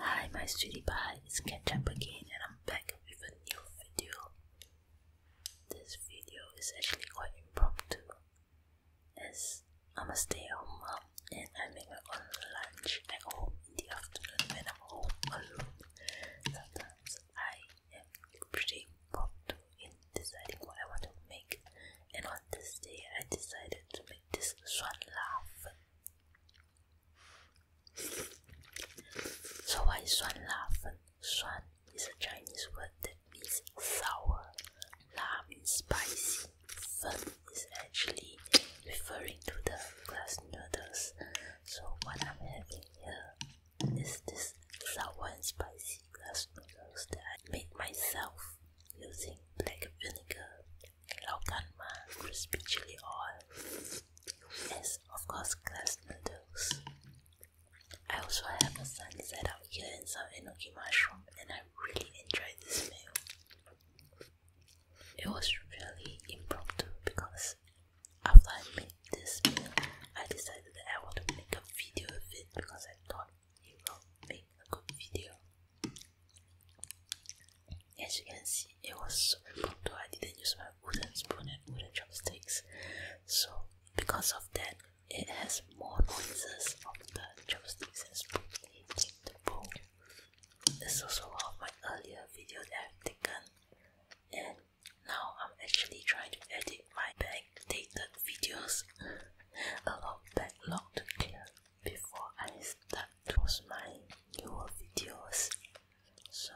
Hi, my sweetie pie, it's Ketchup again and I'm back with a new video. This video is actually quite impromptu as I'm a stay at home mom and I make my own lunch at home in the afternoon when I'm home alone. Sometimes I am pretty impromptu in deciding what I want to make, and on this day I decided to make this swan laugh. So why swan laugh? Swan is a Chinese word that means sour. La means spicy. Fen is actually referring to the glass noodles. So what I'm having here is this sour and spicy glass noodles that I made myself using black vinegar, laukan crispy chili oil, yes, of course glass noodles. I also have a sunset out here and some enoki mushroom and I really enjoyed this meal. It was really impromptu because after I made this, I decided that I want to make a video of it because I thought it will make a good video. As you can see, it was super pumped I didn't use my wooden spoon and wooden chopsticks. So, because of that, it has more noises of the chopsticks and spoon hitting the bowl. This is also one of my earlier videos that I've taken, now I'm actually trying to edit my backdated videos. A lot of backlog to clear before I start to post my newer videos. So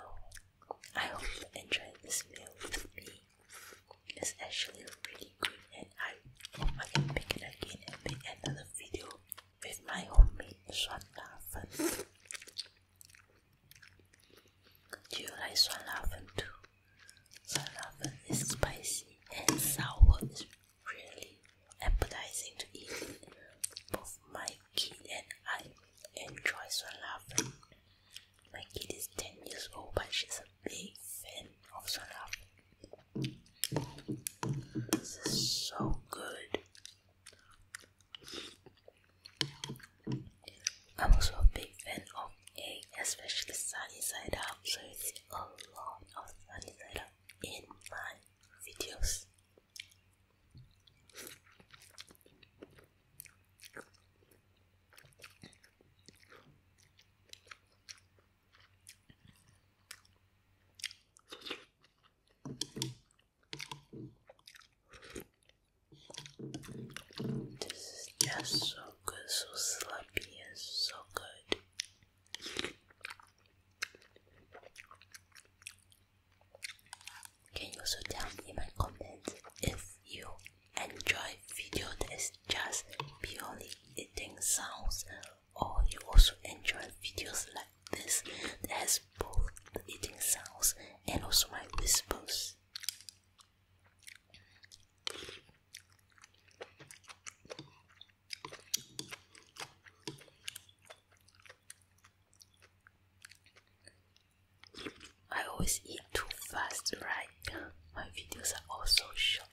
I hope you enjoyed this meal with me. It's actually really good and I hope I can make it again and make another video with my homemade swan laughing. Do you like swan laughing too? Swan laughing is spicy and sour. It's really appetizing to eat. Both my kid and I enjoy swan laughing. My kid is 10 years old, but she's a big fan of swan this is so good. I'm also a big fan of egg, especially sunny side up. So you see a lot of sunny side up in my videos. This is just so good, so sloppy and so good. Can you also tell me in my comments if you enjoy video that is just purely eating sounds or you also enjoy videos like this that has both the eating sounds and also my whispers I always eat too fast, right? My videos are also short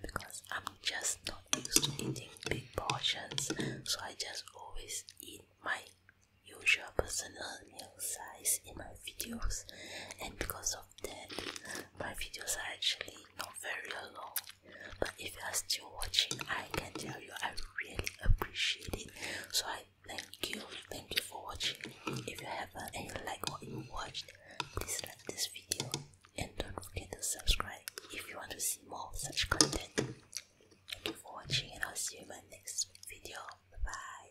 because I'm just not used to eating big portions, so I just always eat my usual personal meal size in my videos, and because of that, my videos are actually not very long. But if you are still watching, I can tell you I really appreciate it, so I thank you, thank you for watching. If you haven't uh, and you like what you watched, please like this video and don't forget to subscribe if you want to see more such content. Thank you for watching and I'll see you in my next video. Bye.